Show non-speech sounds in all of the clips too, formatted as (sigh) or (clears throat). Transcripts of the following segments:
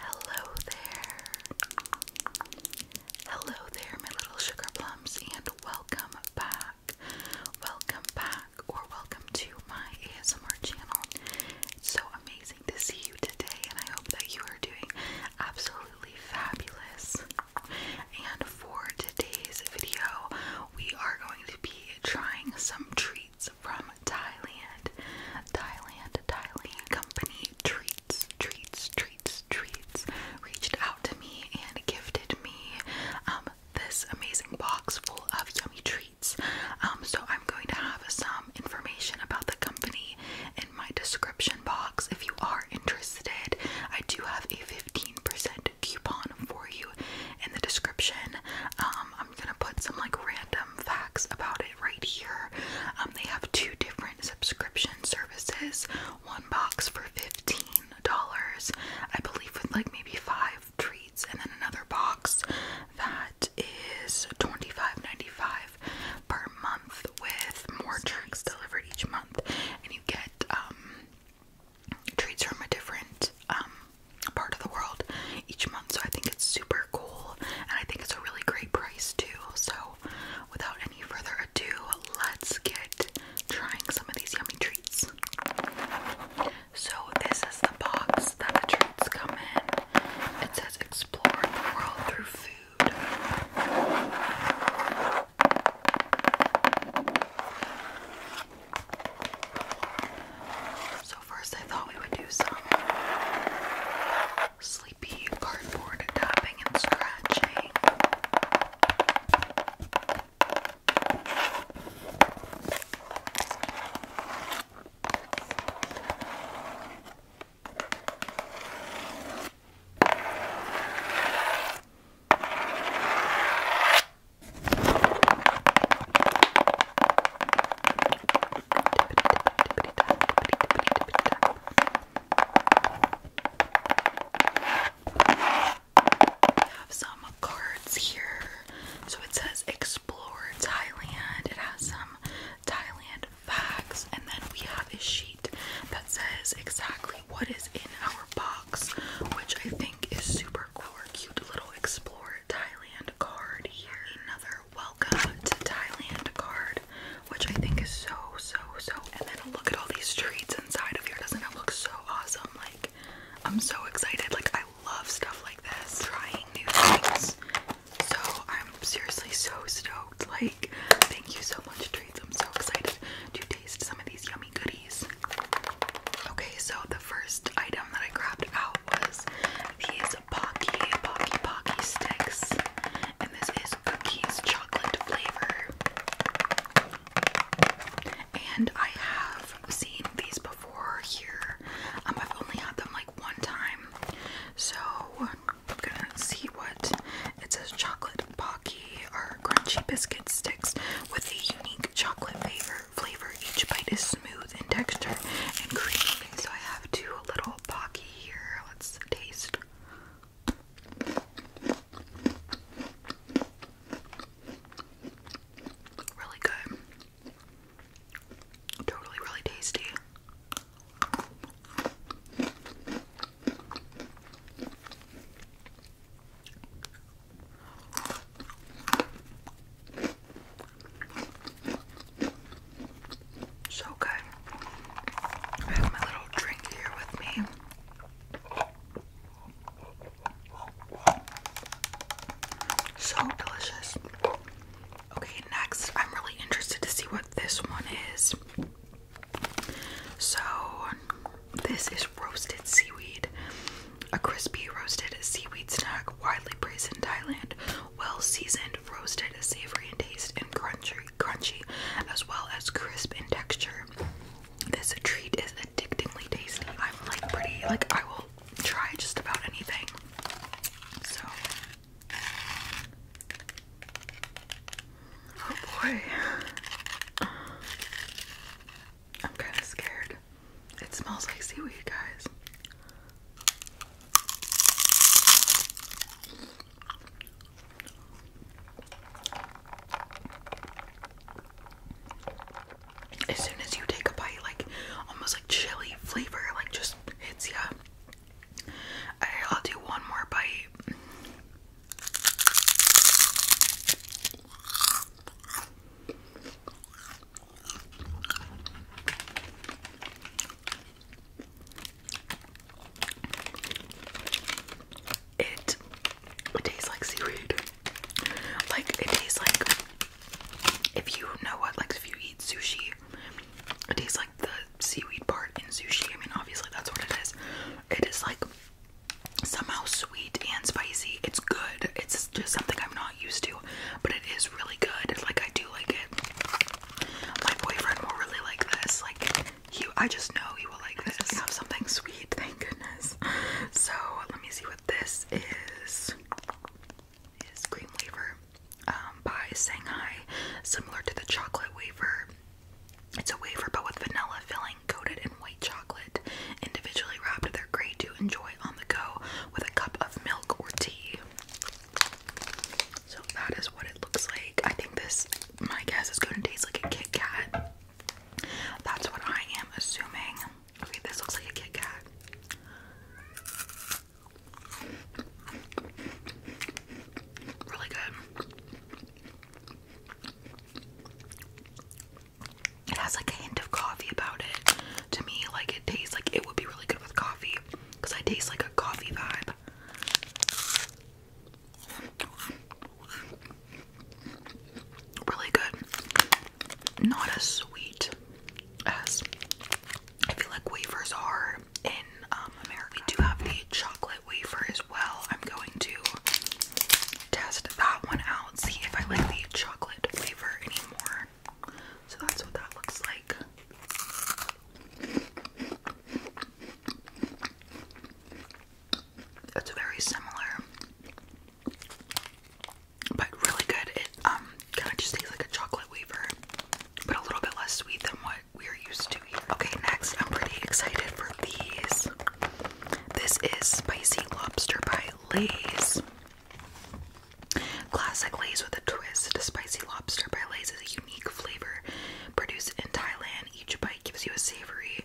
Hello there. Hello there, my little sugar plums, and welcome back. Welcome back, or welcome to my ASMR channel. so amazing to see you today, and I hope that you are doing absolutely fabulous. And for today's video, we are going to be trying some treats from Thailand. Thailand, Thailand company treats, treats, treats, treats reached out to me and gifted me um, this amazing box full of yummy treats. Um, so I'm going to have some information about the company in my description box if you are interested. I do have a 15% coupon for you in the description. Um, I'm gonna put some like random facts about it right here. Um, they have two different subscription services, one box for fifteen dollars, I believe, with like maybe five treats, and then another box that is twenty-five ninety-five per month with more treats delivered each month, and you get um, treats from a different um, part of the world each month. Um, so I think it's super cool and I think it's a really great price too. So without any further ado, let's get trying some of these yummy treats. So this is the box that the treats come in. It says explore the world through food. So first I thought we would do some sleepy cardboard tapping and scratching. We have some cards here. So it says explore Thailand. It has some Thailand facts, and then we have a sheet that says exactly what is in our box, which I think is super cool. cute little explore Thailand card here. Another welcome to Thailand card, which I think is so, so, so. And then look at all these treats inside of here. Doesn't it look so awesome? Like, I'm so excited. Like, I love stuff like this, trying new things. So, I'm seriously so stoked. Like, thank you so much, treats. I'm so excited to taste some of these yummy goodies. Okay, so the first item that I grabbed out was these Pocky Pocky Pocky Sticks, and this is cookies chocolate flavor. And I have seen these before here. Um, I've only had them like one time, so I'm gonna see what it says. Chocolate Pocky are crunchy biscuit sticks with a unique chocolate flavor. Flavor. Each bite is smooth in texture and creamy. So I have two little Pocky here. Let's taste. Really good. Totally, really tasty. So good. I have my little drink here with me. So delicious. Okay, next, I'm really interested to see what this one is. So, this is roasted seaweed, a crispy roasted seaweed snack widely praised in Thailand well seasoned, roasted, savory in taste, and crunchy, crunchy, as well as crisp in texture. This treat is addictingly tasty. I'm like pretty, like I will try just about anything. So, oh boy, I'm kind of scared. It smells like seaweed, guys. As soon as you take a bite, like almost like chili flavor, like just hits you. I'll do one more bite. It, tastes like seaweed. Like it tastes like if you know what, like if you eat sushi, it tastes like the seaweed part in sushi. I mean, obviously that's what it is. It is like somehow sweet and spicy. It's good. It's just something I'm not used to, but it is really good. Like I do like it. My boyfriend will really like this. Like he, I just know he will like this. We have something sweet, thank goodness. So let me see what this is. Is cream wafer um, by Shanghai, similar to the chocolate wafer. It's a wafer but with vanilla filling, coated in white chocolate. Individually wrapped, they're great to enjoy on the go with a cup of milk or tea. So that is what it looks like. I think this, my guess, is going to taste like a Kit Kat. That's what I am assuming. Okay, this looks like a Kit Kat. Really good. It has like a hint of coffee about it. To me, like it tastes like it would be really good with coffee because I taste like a coffee vibe. Really good. Not as sweet as I feel like wafers are in um, America. We do have the chocolate wafer as well. I'm going to test that one out, see if I like the chocolate flavor anymore. So that's what that looks like. It's very similar, but really good. It um kind of just tastes like a chocolate wafer, but a little bit less sweet than what we're used to Okay, next I'm pretty excited for these. This is spicy lobster by Lay's. Classic Lay's with a twist. Spicy lobster by Lay's is a flavor. Produced in Thailand, each bite gives you a savory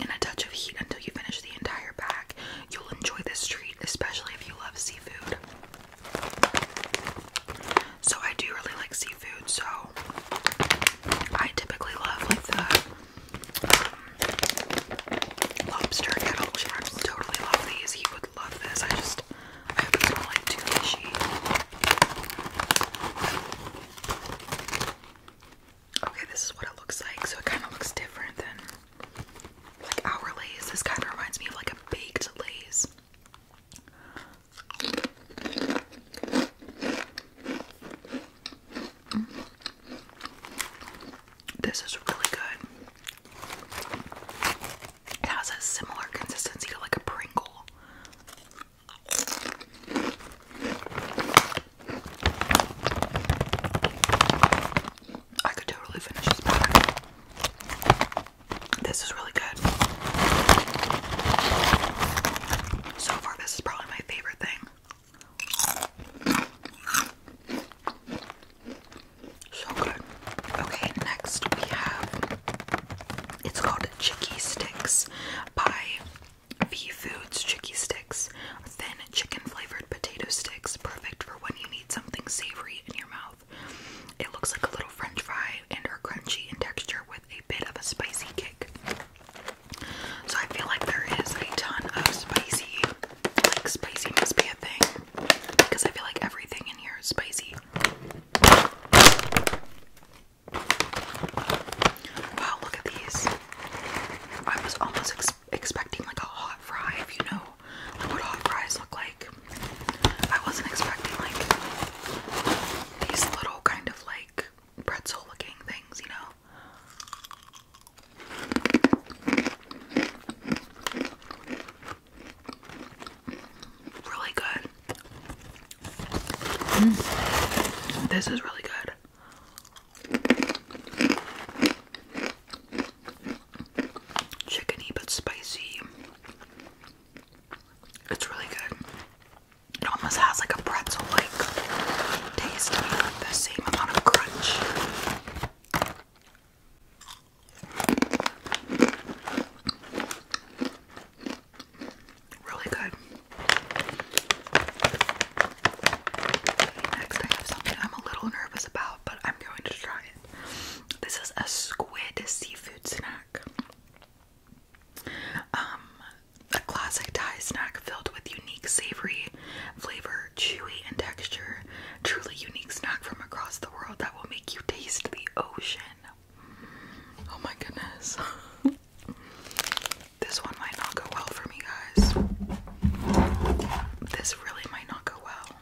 and a touch of heat until you finish the entire bag. You'll enjoy this treat, especially if you love seafood. So I do really like seafood, so I typically love like the um, lobster kettle chips. Totally love these. He would love this. I just I hope it's not like too fishy. Okay, this is what it looks like. So it kind of looks different than like our lays. This kind of reminds me of like a baked lays. This is really good. It has a similar consistency to like a Pringle. I could totally finish this pack. This is really good. So far, this is probably my favorite thing. So good. Okay, next we have it's called Chicky Sticks by V Foods Chicky Sticks. Thin chicken flavored potato sticks, perfect for when you need something savory in your mouth. It looks like a little french fry and are crunchy in texture with a bit of a spicy kick. So I feel like there is a ton of spicy. Like spicy must be a thing. Because I feel like everything in here is spicy. Wow, look at these. I was almost expecting like a hot fry, if you know what hot fries look like. I wasn't expecting like these little kind of like pretzel looking things, you know. Really good. Mm. This is really good. Chickeny but spicy. It's really good. It almost has like a pretzel like taste to the same amount of crunch. Really good. Next, I have something I'm a little nervous about, but I'm going to try it. This is a squid seafood snack. Um, a classic Thai snack filled with unique savory flavor, chewy, and texture. Truly unique snack from across the world that will make you taste the ocean. Oh my goodness. (laughs) this one might not go well for me, guys. This really might not go well.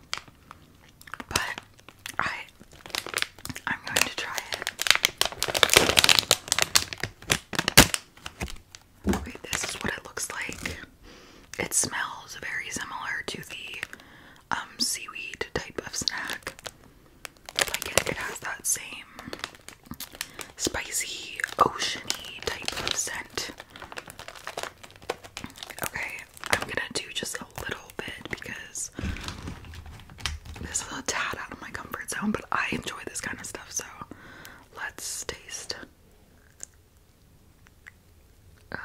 But I I'm going to try it. this is what it looks like. It smells very similar to the um, seaweed type of snack. Like it, it has that same spicy, oceany type of scent. Okay, I'm gonna do just a little bit because this is a tad out of my comfort zone, but I enjoy this kind of stuff, so let's taste. Uh,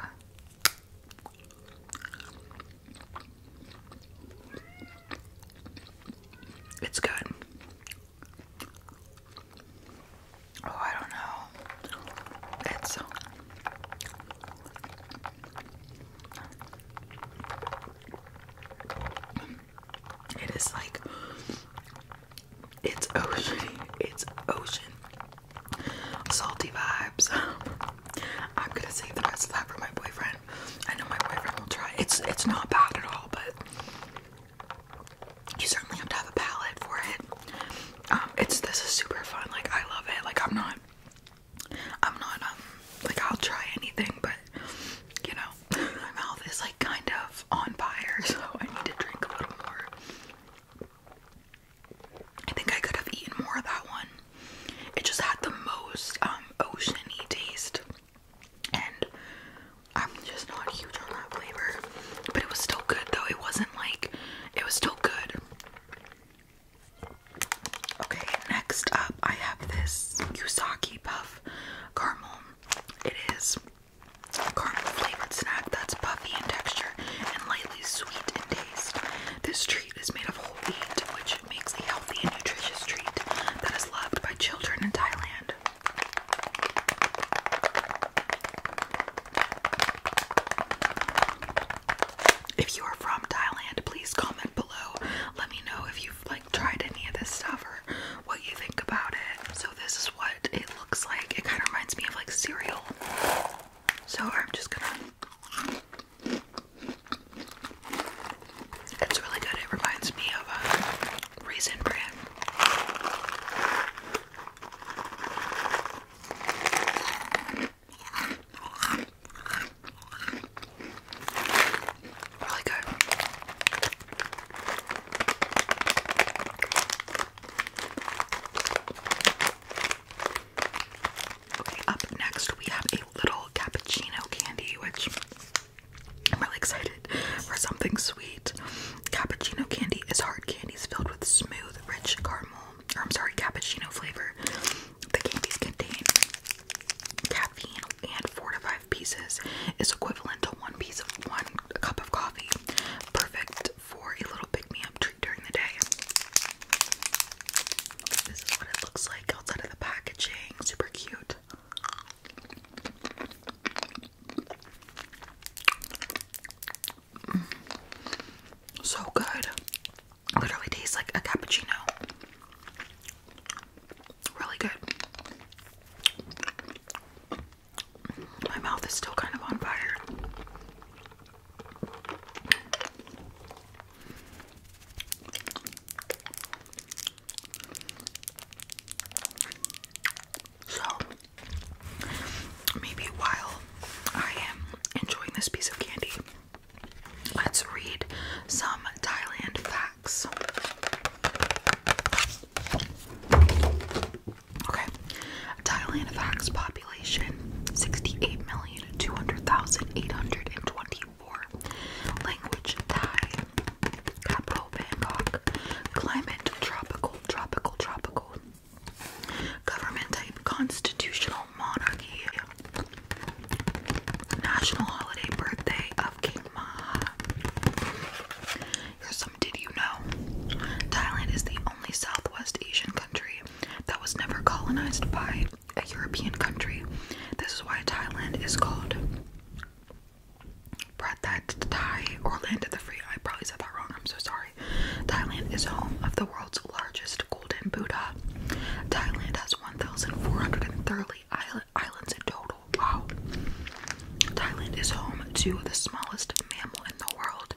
it's good. Oh, I don't know. It's it is like it's ocean, it's ocean salty vibes. (laughs) I'm gonna save the best of for my boyfriend. I know my boyfriend will try. It's it's not bad at all, but you certainly have to have a palette for it. Um, it's this is super fun. Like I love it. Like I'm not, I'm not um like I'll try anything, but you know (laughs) my mouth is like kind of on fire, (laughs) so I need to drink a little more. I think I could have eaten more of that one it just had the most um oceany taste and I'm just not huge on that flavor but it was still good though it wasn't like it was still good okay next up I have this Yusaki puff caramel it is caramel flavored snack that's puffy in texture and lightly sweet in this treat is made of whole wheat, which makes a healthy and nutritious treat that is loved by children in Thailand. If you are from Thailand, please comment below. Let me know if you've like tried any of this stuff or what you think about it. So this is what it looks like. It kind of reminds me of like cereal. So I'm just gonna it's really good. It reminds me of a raisin bran. Really good. Okay, up next we have a little cappuccino candy, which I'm really excited for something sweet. Cappuccino candy is hard candies filled with smooth, rich caramel, or I'm sorry, cappuccino flavor. The candies contain caffeine and four to five pieces is equivalent to one piece of one cup of coffee. Perfect for a little pick-me-up treat during the day. This is what it looks like outside of the packaging. Super cute. So good. Literally tastes like a cappuccino. Really good. My mouth is still kind of on fire. So, maybe while I am enjoying this piece of candy, let's read some Thailand facts. Okay, Thailand facts population 68,200,821 language Thai, capital Bangkok, climate tropical, tropical, tropical, government type constitutional monarchy, national holiday birthday of King Maha. Here's some did you know? Thailand is the only Southwest Asian country that was never colonized by a European country. This is why Thailand is called Pratat Thai or Land of the Free. I probably said that wrong. I'm so sorry. Thailand is home of the world's largest golden Buddha. Thailand has 1,430 islands in total. Wow. Thailand is home to the smallest mammal in the world,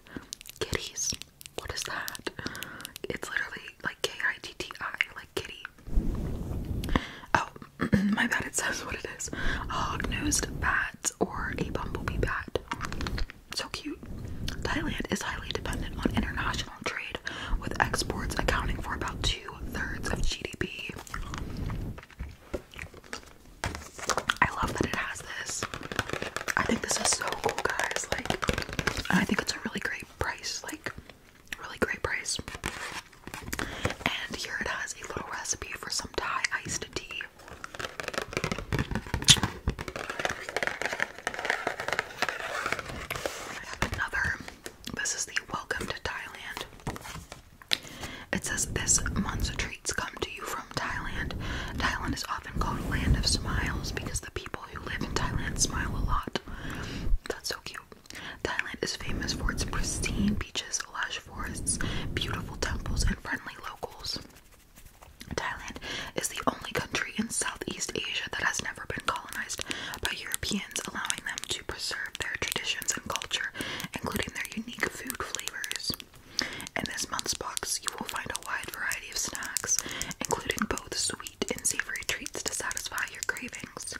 kitties. What is that? It's literally like K I T T I, like kitty. Oh, (clears throat) my bad, it says what it is. A hog nosed bat or a bumblebee bat. So cute. Thailand is highly dependent on international trade, with exports accounting for about two thirds of GDP. I love that it has this. I think this is so cool, guys. Like, and I think it's a really great price. Like, Really great price. And here it has a little recipe for some Thai iced tea. I have another. This is the Welcome to Thailand. It says this month's treats come to you from Thailand. Thailand is often called land of smiles because the people who live in Thailand smile a lot. That's so cute. Thailand is famous for its pristine beaches, lush forests, beautiful temples, and friendly locals. Thailand is the only country in Southeast Asia that has never been colonized by Europeans, allowing them to preserve their traditions and culture, including their unique food flavors. In this month's box, you will find a wide variety of snacks, including both sweet and savory treats to satisfy your cravings.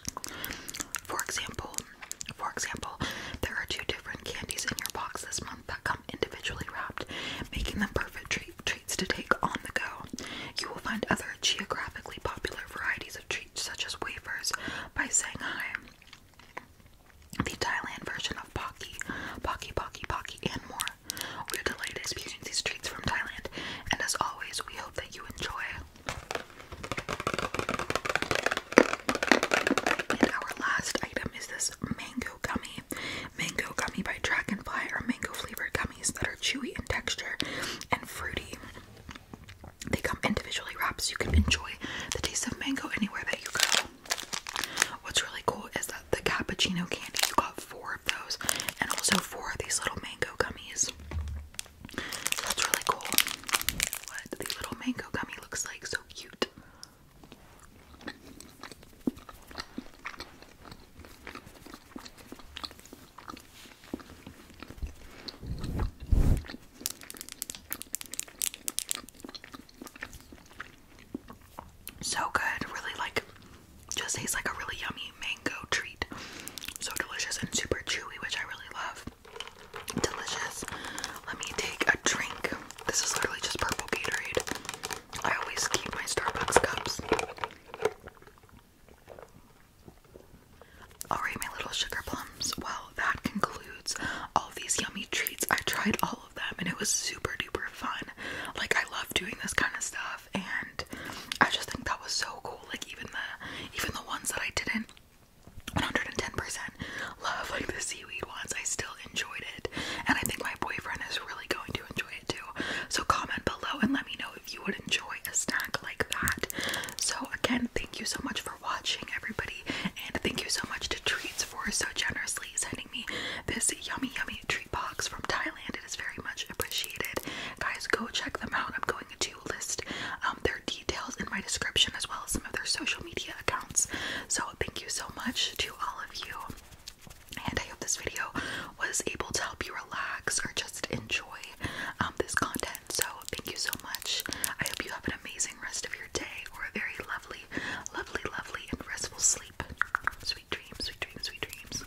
For example, for example, there are two different candies in your box this month that come individually wrapped, making them perfect treats to take on the go. You will find other geographically popular varieties of treats such as wafers by Shanghai, the Thailand version of Pocky, Pocky, Pocky, Pocky, and more. We are delighted experiencing these treats from Thailand, and as always, we hope that you enjoy. And our last item is this mango gummy. Mango gummy by Dragonfly are mango flavored gummies that are chewy in texture and fruity. They come individually wrapped so you can enjoy the taste of mango anywhere that you go. What's really cool is that the cappuccino candy, you got four of those and also four of these little mango gummies. So that's really cool. What the little mango gummy looks like, so cute. So good, really like just tastes like a really yummy mango treat. So delicious and super chewy, which I really love. Delicious. Let me take a drink. This is literally just purple Gatorade. I always keep my Starbucks cups. Alright, my little sugar plums. Well, that concludes all these yummy treats. I tried all of them and it was super duper fun. Like, I love doing this kind of stuff and I just think that was so cool. Like even the even the ones that I didn't 110% love, like the seaweed ones, I still enjoyed it. And I think my boyfriend is really going to enjoy it too. So comment below and let me know if you would enjoy a snack like that. So again, thank you so much for watching everybody and thank you so much to Treats for so generously sending me this yummy yummy treat box from Thailand. It is very much appreciated. Guys, go check them out. I'm going to list um, their details in my description as well as some of their social media accounts. So, thank you so much to all of you, and I hope this video was able to help you relax or just enjoy um, this content. So, thank you so much. I hope you have an amazing rest of your day or a very lovely, lovely, lovely, and restful sleep. Sweet dreams, sweet dreams, sweet dreams.